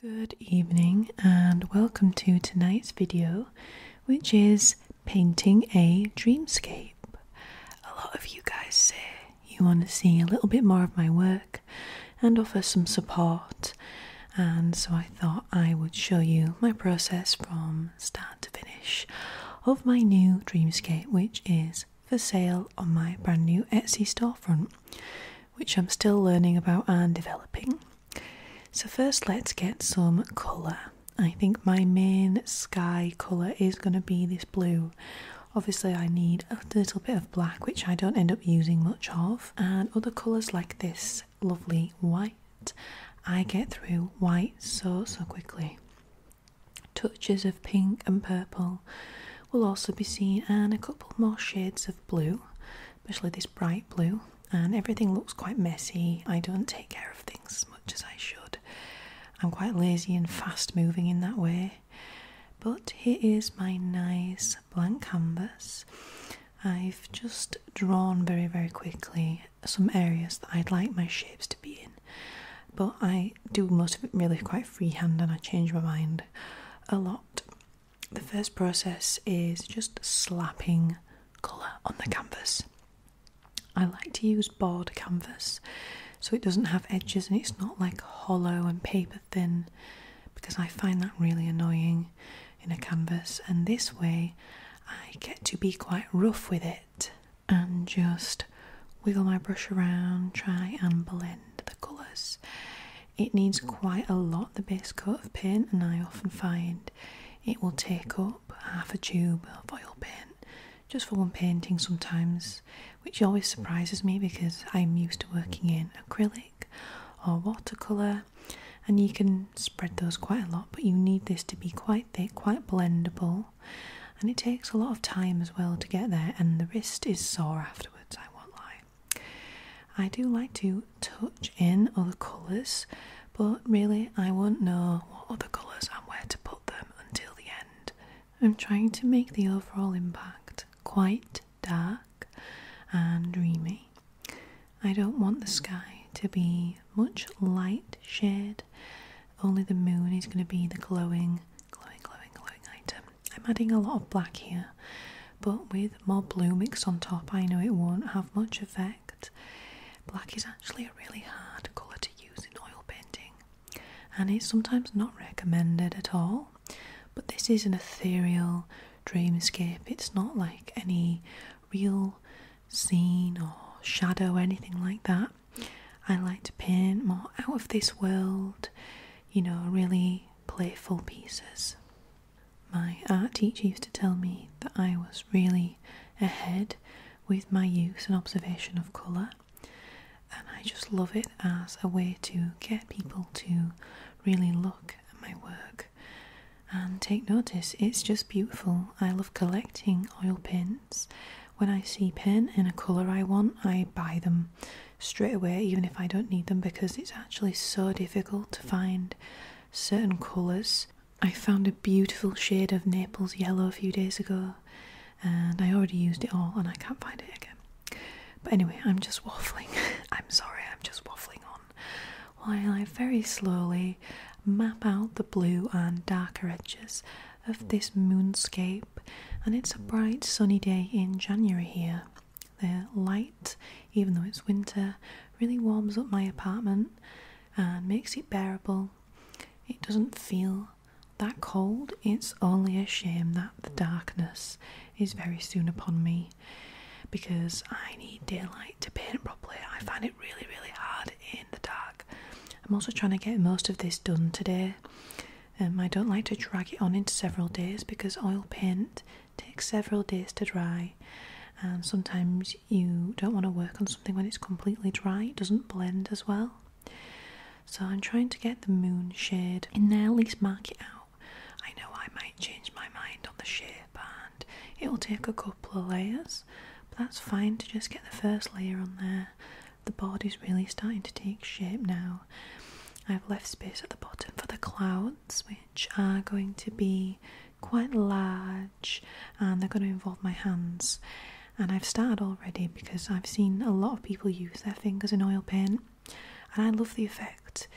Good evening and welcome to tonight's video which is painting a dreamscape. A lot of you guys say you want to see a little bit more of my work and offer some support and so I thought I would show you my process from start to finish of my new dreamscape which is for sale on my brand new Etsy storefront which I'm still learning about and developing. So, first, let's get some colour. I think my main sky colour is going to be this blue. Obviously, I need a little bit of black, which I don't end up using much of, and other colours like this lovely white. I get through white so, so quickly. Touches of pink and purple, will also be seen, and a couple more shades of blue, especially this bright blue. And everything looks quite messy. I don't take care of things as much as I should. I'm quite lazy and fast moving in that way. But here is my nice blank canvas. I've just drawn very, very quickly some areas that I'd like my shapes to be in. But I do most of it really quite freehand and I change my mind a lot. The first process is just slapping colour on the canvas. I like to use board canvas so it doesn't have edges and it's not like hollow and paper thin because I find that really annoying in a canvas, and this way I get to be quite rough with it and just wiggle my brush around, try and blend the colours. It needs quite a lot the base coat of paint, and I often find it will take up half a tube of oil paint just for one painting sometimes, which always surprises me because I'm used to working in acrylic or watercolour, and you can spread those quite a lot, but you need this to be quite thick, quite blendable, and it takes a lot of time as well to get there, and the wrist is sore afterwards, I won't lie. I do like to touch in other colours, but really I won't know what other colours and where to put them until the end. I'm trying to make the overall impact quite dark and dreamy. I don't want the sky to be much light shed. only the moon is going to be the glowing, glowing, glowing, glowing item. I'm adding a lot of black here, but with more blue mixed on top, I know it won't have much effect. Black is actually a really hard colour to use in oil painting, and it's sometimes not recommended at all. But this is an ethereal dreamscape, it's not like any real scene or shadow or anything like that. I like to paint more out of this world you know, really playful pieces. My art teacher used to tell me that I was really ahead with my use and observation of colour, and I just love it as a way to get people to really look at my work and take notice. It's just beautiful. I love collecting oil pins. When I see pen in a colour I want, I buy them straight away, even if I don't need them, because it's actually so difficult to find certain colours. I found a beautiful shade of Naples yellow a few days ago, and I already used it all, and I can't find it again. But anyway, I'm just waffling. I'm sorry, I'm just waffling on. While I very slowly map out the blue and darker edges of this moonscape and it's a bright sunny day in January here. The light, even though it's winter, really warms up my apartment and makes it bearable. It doesn't feel that cold, it's only a shame that the darkness is very soon upon me because I need daylight to paint properly. I find it really, really hard in the dark. I'm also trying to get most of this done today, um, I don't like to drag it on into several days because oil paint takes several days to dry, and um, sometimes you don't want to work on something when it's completely dry, it doesn't blend as well. So I'm trying to get the moon shade in there, at least mark it out. I know I might change my mind on the shape and it'll take a couple of layers, but that's fine to just get the first layer on there the body's really starting to take shape now. I've left space at the bottom for the clouds, which are going to be quite large and they're going to involve my hands. And I've started already because I've seen a lot of people use their fingers in oil paint and I love the effect.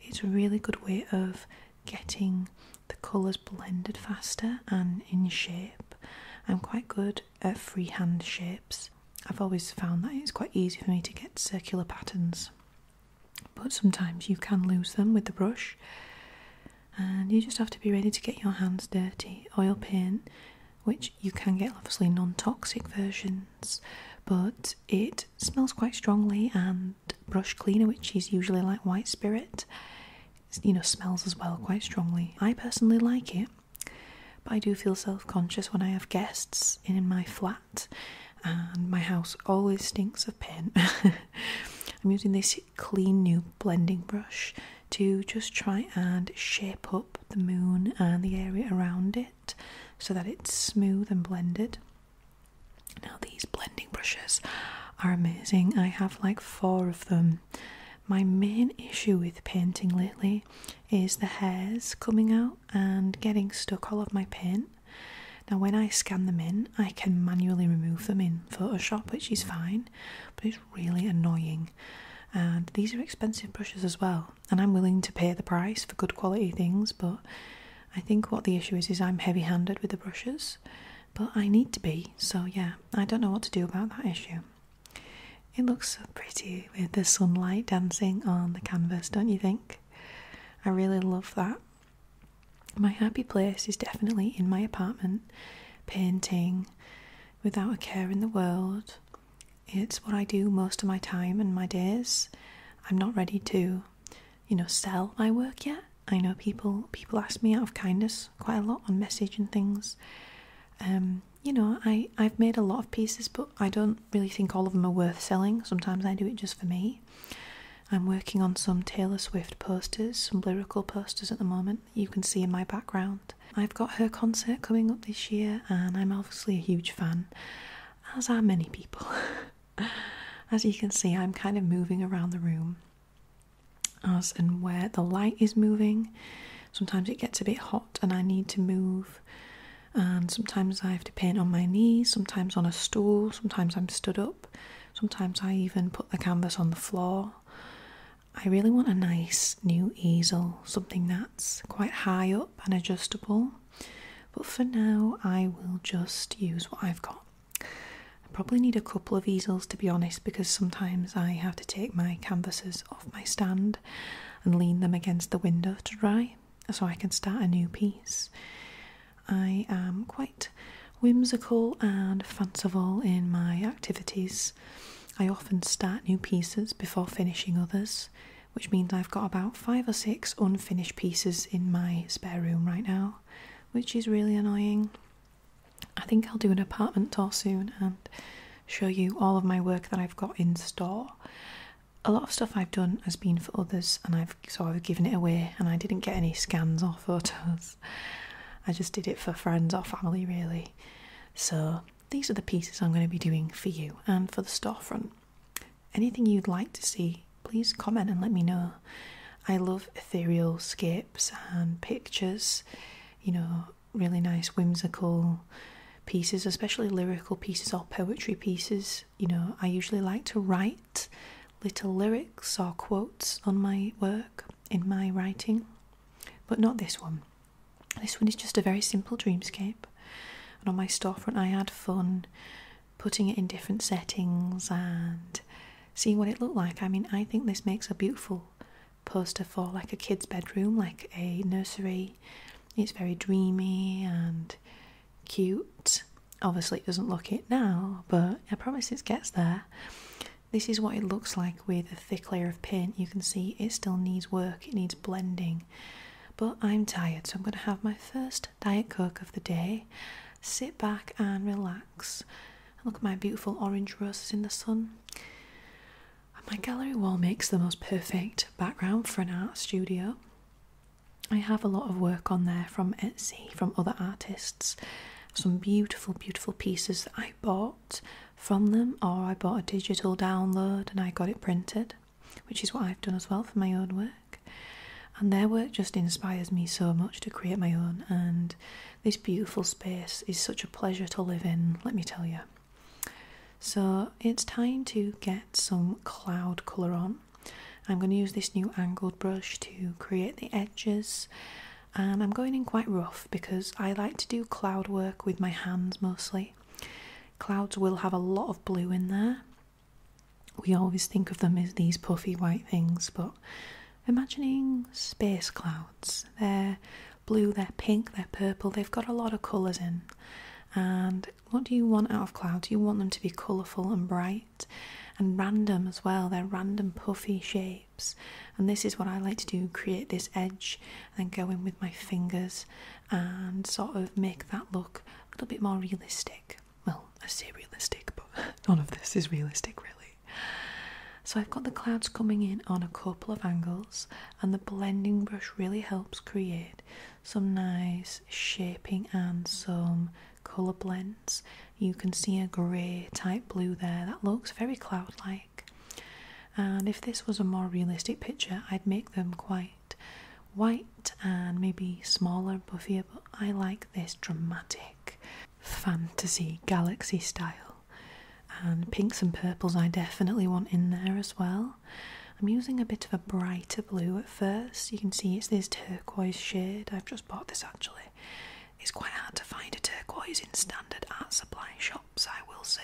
It's a really good way of getting the colours blended faster and in shape. I'm quite good at freehand shapes, I've always found that it's quite easy for me to get circular patterns, but sometimes you can lose them with the brush, and you just have to be ready to get your hands dirty. Oil paint, which you can get obviously non toxic versions, but it smells quite strongly, and brush cleaner, which is usually like white spirit, you know, smells as well quite strongly. I personally like it. But I do feel self conscious when I have guests in my flat, and my house always stinks of paint. I'm using this clean new blending brush to just try and shape up the moon and the area around it so that it's smooth and blended. Now, these blending brushes are amazing. I have like four of them my main issue with painting lately is the hairs coming out and getting stuck all of my paint. Now, when I scan them in, I can manually remove them in Photoshop, which is fine, but it's really annoying. And these are expensive brushes as well, and I'm willing to pay the price for good quality things, but I think what the issue is is I'm heavy handed with the brushes, but I need to be, so yeah, I don't know what to do about that issue. It looks so pretty with the sunlight dancing on the canvas, don't you think? I really love that. My happy place is definitely in my apartment, painting without a care in the world. It's what I do most of my time and my days. I'm not ready to, you know, sell my work yet. I know people people ask me out of kindness quite a lot on message and things. Um, you know, I, I've made a lot of pieces, but I don't really think all of them are worth selling. Sometimes I do it just for me. I'm working on some Taylor Swift posters, some lyrical posters at the moment, you can see in my background. I've got her concert coming up this year, and I'm obviously a huge fan, as are many people. as you can see, I'm kind of moving around the room as and where the light is moving. Sometimes it gets a bit hot and I need to move. And sometimes I have to paint on my knees, sometimes on a stool, sometimes I'm stood up, sometimes I even put the canvas on the floor. I really want a nice new easel, something that's quite high up and adjustable. But for now, I will just use what I've got. I probably need a couple of easels to be honest because sometimes I have to take my canvases off my stand and lean them against the window to dry so I can start a new piece. I am quite whimsical and fanciful in my activities. I often start new pieces before finishing others, which means I've got about five or six unfinished pieces in my spare room right now, which is really annoying. I think I'll do an apartment tour soon and show you all of my work that I've got in store. A lot of stuff I've done has been for others and I've so I've given it away and I didn't get any scans or photos. I just did it for friends or family really. So these are the pieces I'm going to be doing for you and for the storefront. Anything you'd like to see, please comment and let me know. I love ethereal scale and pictures, you know, really nice whimsical pieces, especially lyrical pieces or poetry pieces. You know, I usually like to write little lyrics or quotes on my work in my writing, but not this one. This one is just a very simple dreamscape. And on my storefront, I had fun putting it in different settings and see what it looked like. I mean, I think this makes a beautiful poster for like a kid's bedroom, like a nursery. It's very dreamy and cute. Obviously, it doesn't look it now, but I promise it gets there. This is what it looks like with a thick layer of paint. You can see it still needs work, it needs blending. But I'm tired, so I'm going to have my first Diet Coke of the day sit back and relax look at my beautiful orange roses in the sun. My gallery wall makes the most perfect background for an art studio. I have a lot of work on there from Etsy, from other artists. Some beautiful, beautiful pieces that I bought from them, or I bought a digital download and I got it printed, which is what I've done as well for my own work. And their work just inspires me so much to create my own, and this beautiful space is such a pleasure to live in, let me tell you. So it's time to get some cloud colour on. I'm going to use this new angled brush to create the edges and I'm going in quite rough because I like to do cloud work with my hands mostly. Clouds will have a lot of blue in there. We always think of them as these puffy white things but imagining space clouds. They're blue, they're pink, they're purple, they've got a lot of colours in. And what do you want out of clouds? You want them to be colourful and bright and random as well. They're random, puffy shapes. And this is what I like to do create this edge and then go in with my fingers and sort of make that look a little bit more realistic. Well, I say realistic, but none of this is realistic really. So I've got the clouds coming in on a couple of angles, and the blending brush really helps create some nice shaping and some colour blends. You can see a grey type blue there that looks very cloud like. And if this was a more realistic picture, I'd make them quite white and maybe smaller and puffier, but I like this dramatic fantasy galaxy style, and pinks and purples I definitely want in there as well. I'm using a bit of a brighter blue at first. You can see it's this turquoise shade. I've just bought this actually. It's quite hard to find a turquoise in standard art supply shops, I will say.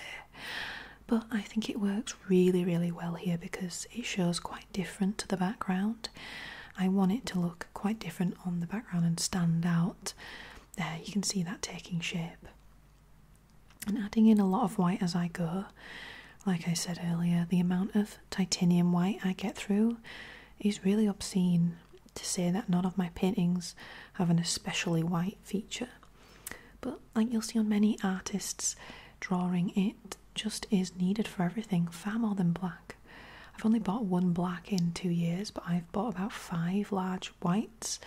But I think it works really, really well here because it shows quite different to the background. I want it to look quite different on the background and stand out. There, you can see that taking shape. And adding in a lot of white as I go. Like I said earlier, the amount of titanium white I get through is really obscene to say that none of my paintings have an especially white feature. But like you'll see on many artists, drawing it just is needed for everything, far more than black. I've only bought one black in two years, but I've bought about five large whites.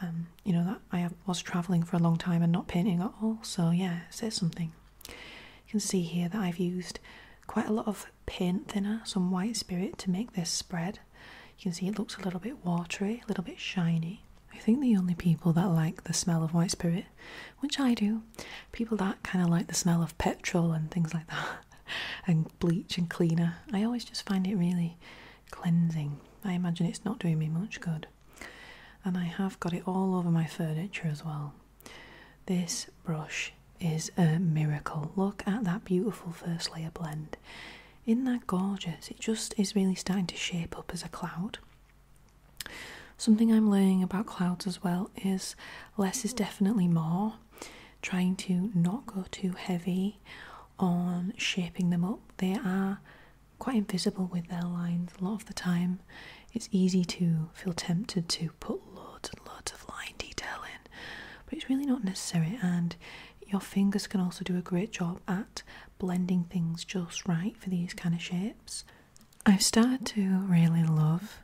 Um, you know that I was traveling for a long time and not painting at all, so yeah, it says something. You can see here that I've used quite a lot of paint thinner, some white spirit to make this spread. You can see it looks a little bit watery, a little bit shiny. I think the only people that like the smell of white spirit, which I do, people that kind of like the smell of petrol and things like that, and bleach and cleaner. I always just find it really cleansing. I imagine it's not doing me much good. And I have got it all over my furniture as well. This brush is a miracle. Look at that beautiful first layer blend. Isn't that gorgeous? It just is really starting to shape up as a cloud. Something I'm learning about clouds as well is less is definitely more. Trying to not go too heavy on shaping them up. They are quite invisible with their lines a lot of the time. It's easy to feel tempted to put loads and loads of line detail in, but it's really not necessary. And your fingers can also do a great job at blending things just right for these kind of shapes. I've started to really love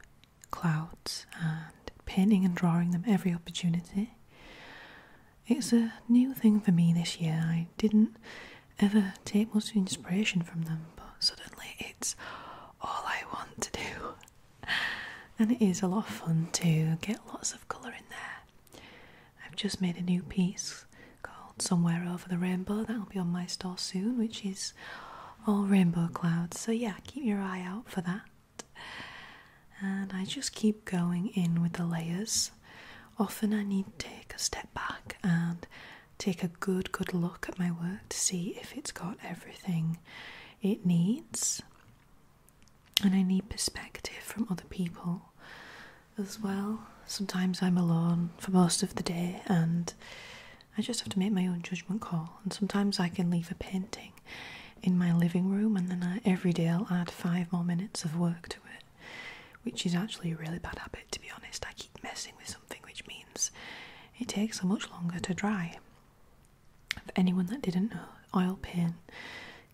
clouds and painting and drawing them every opportunity. It's a new thing for me this year. I didn't ever take much inspiration from them, but suddenly it's all I want to do. And it is a lot of fun to get lots of colour in there. I've just made a new piece called Somewhere Over the Rainbow that'll be on my store soon, which is all rainbow clouds. So, yeah, keep your eye out for that. And I just keep going in with the layers. Often I need to take a step back and take a good, good look at my work to see if it's got everything it needs. And I need perspective from other people as well. Sometimes I'm alone for most of the day and I just have to make my own judgment call, and sometimes I can leave a painting in my living room, and then every day I'll add five more minutes of work to it, which is actually a really bad habit to be honest. I keep messing with something, which means it takes so much longer to dry. For anyone that didn't know, oil paint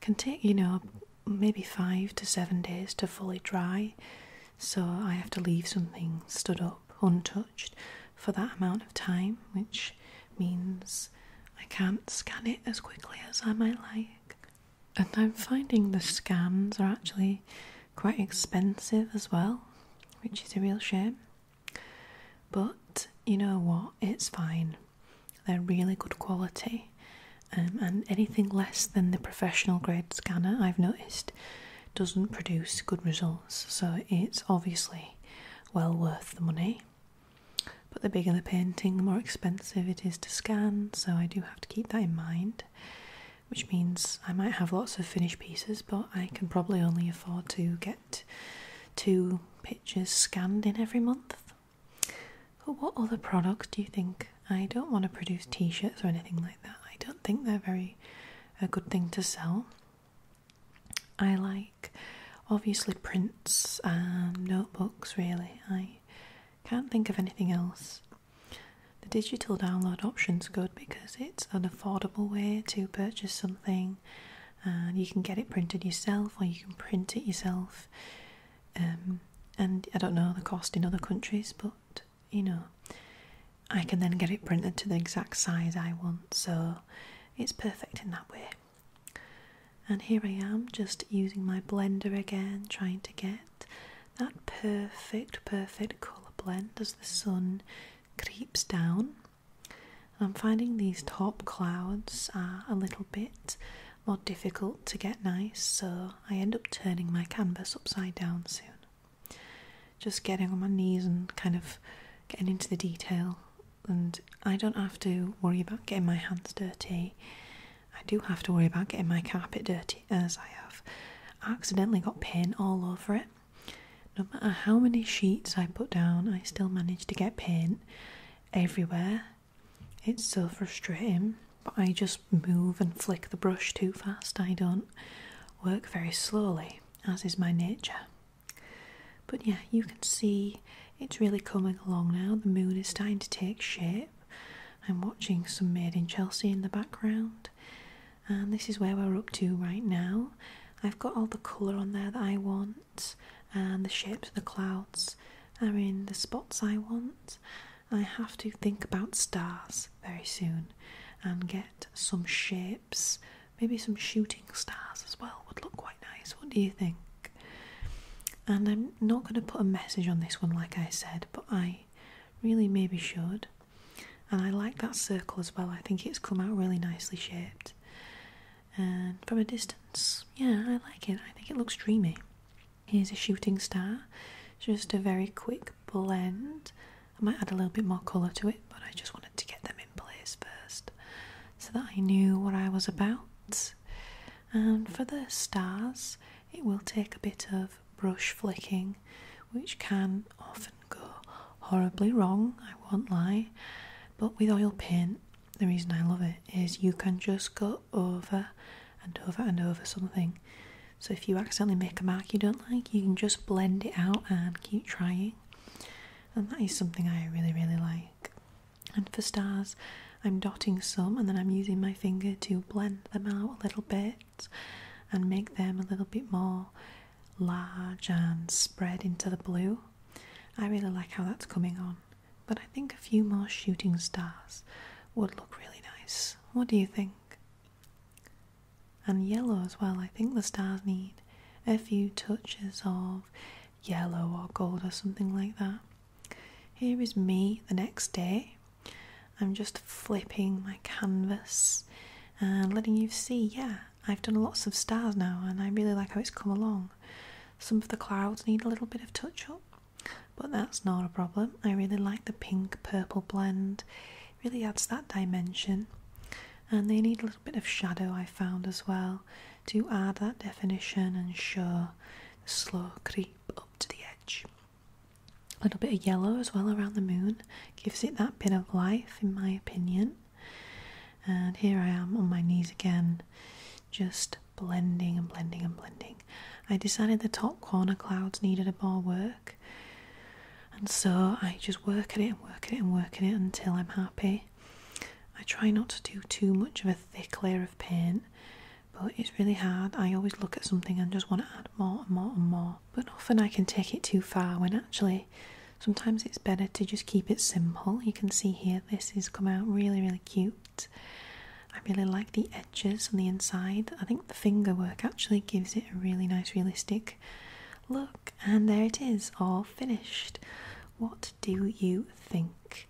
can take you know maybe five to seven days to fully dry so I have to leave something stood up untouched for that amount of time, which means I can't scan it as quickly as I might like. And I'm finding the scans are actually quite expensive as well, which is a real shame. But you know what? It's fine. They're really good quality, um, and anything less than the professional grade scanner I've noticed doesn't produce good results, so it's obviously well worth the money. But the bigger the painting, the more expensive it is to scan, so I do have to keep that in mind. Which means I might have lots of finished pieces, but I can probably only afford to get two pictures scanned in every month. But what other products do you think? I don't want to produce t shirts or anything like that. I don't think they're very a good thing to sell. I like obviously prints and notebooks, really. I can't think of anything else. The digital download option's good because it's an affordable way to purchase something and you can get it printed yourself or you can print it yourself. Um, and I don't know the cost in other countries, but you know I can then get it printed to the exact size I want so it's perfect in that way and here I am just using my blender again trying to get that perfect perfect colour blend as the sun creeps down I'm finding these top clouds are a little bit more difficult to get nice so I end up turning my canvas upside down soon just getting on my knees and kind of getting into the detail. And I don't have to worry about getting my hands dirty. I do have to worry about getting my carpet dirty as I have accidentally got paint all over it. No matter how many sheets I put down, I still manage to get paint everywhere. It's so frustrating but I just move and flick the brush too fast. I don't work very slowly, as is my nature. But yeah, you can see it's really coming along now. The moon is starting to take shape. I'm watching some Maid in Chelsea in the background, and this is where we're up to right now. I've got all the colour on there that I want, and the shapes of the clouds are in the spots I want. I have to think about stars very soon and get some shapes. Maybe some shooting stars as well would look quite nice. What do you think? And I'm not going to put a message on this one, like I said, but I really maybe should. And I like that circle as well, I think it's come out really nicely shaped. And from a distance, yeah, I like it. I think it looks dreamy. Here's a shooting star, just a very quick blend. I might add a little bit more colour to it, but I just wanted to get them in place first so that I knew what I was about. And for the stars, it will take a bit of brush flicking, which can often go horribly wrong, I won't lie. But with oil paint, the reason I love it is you can just go over and over and over something. So if you accidentally make a mark you don't like, you can just blend it out and keep trying. And that is something I really, really like. And for stars, I'm dotting some and then I'm using my finger to blend them out a little bit and make them a little bit more large and spread into the blue. I really like how that's coming on. But I think a few more shooting stars would look really nice. What do you think? And yellow as well. I think the stars need a few touches of yellow or gold or something like that. Here is me the next day. I'm just flipping my canvas and letting you see, yeah, I've done lots of stars now and I really like how it's come along. Some of the clouds need a little bit of touch up, but that's not a problem. I really like the pink purple blend, really adds that dimension. And they need a little bit of shadow, I found as well, to add that definition and show the slow creep up to the edge. A little bit of yellow as well around the moon gives it that bit of life, in my opinion. And here I am on my knees again, just blending and blending and blending. I decided the top corner clouds needed a more work, and so I just work at it and work at it and work at it until I'm happy. I try not to do too much of a thick layer of paint, but it's really hard. I always look at something and just want to add more and more and more, but often I can take it too far when actually. Sometimes it's better to just keep it simple. You can see here this has come out really, really cute. I really like the edges on the inside. I think the finger work actually gives it a really nice realistic look. And there it is, all finished. What do you think?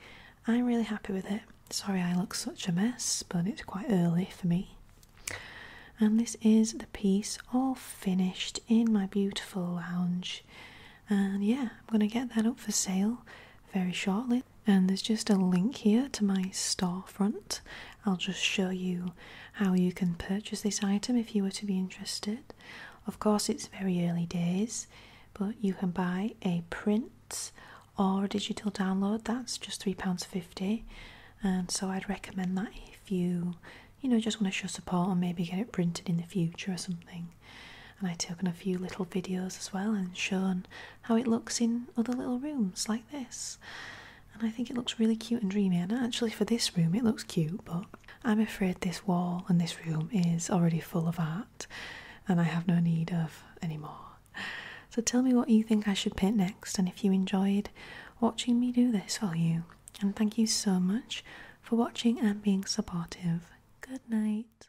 I'm really happy with it. Sorry I look such a mess, but it's quite early for me. And this is the piece all finished in my beautiful lounge. And yeah, I'm going to get that up for sale very shortly and there's just a link here to my storefront. I'll just show you how you can purchase this item if you were to be interested. Of course, it's very early days, but you can buy a print or a digital download. That's just £3.50, and so I'd recommend that if you, you know, just want to show support and maybe get it printed in the future or something. And I took on a few little videos as well and shown how it looks in other little rooms like this. And I think it looks really cute and dreamy. And actually, for this room, it looks cute, but I'm afraid this wall and this room is already full of art and I have no need of any more. So tell me what you think I should paint next and if you enjoyed watching me do this, for you? And thank you so much for watching and being supportive. Good night.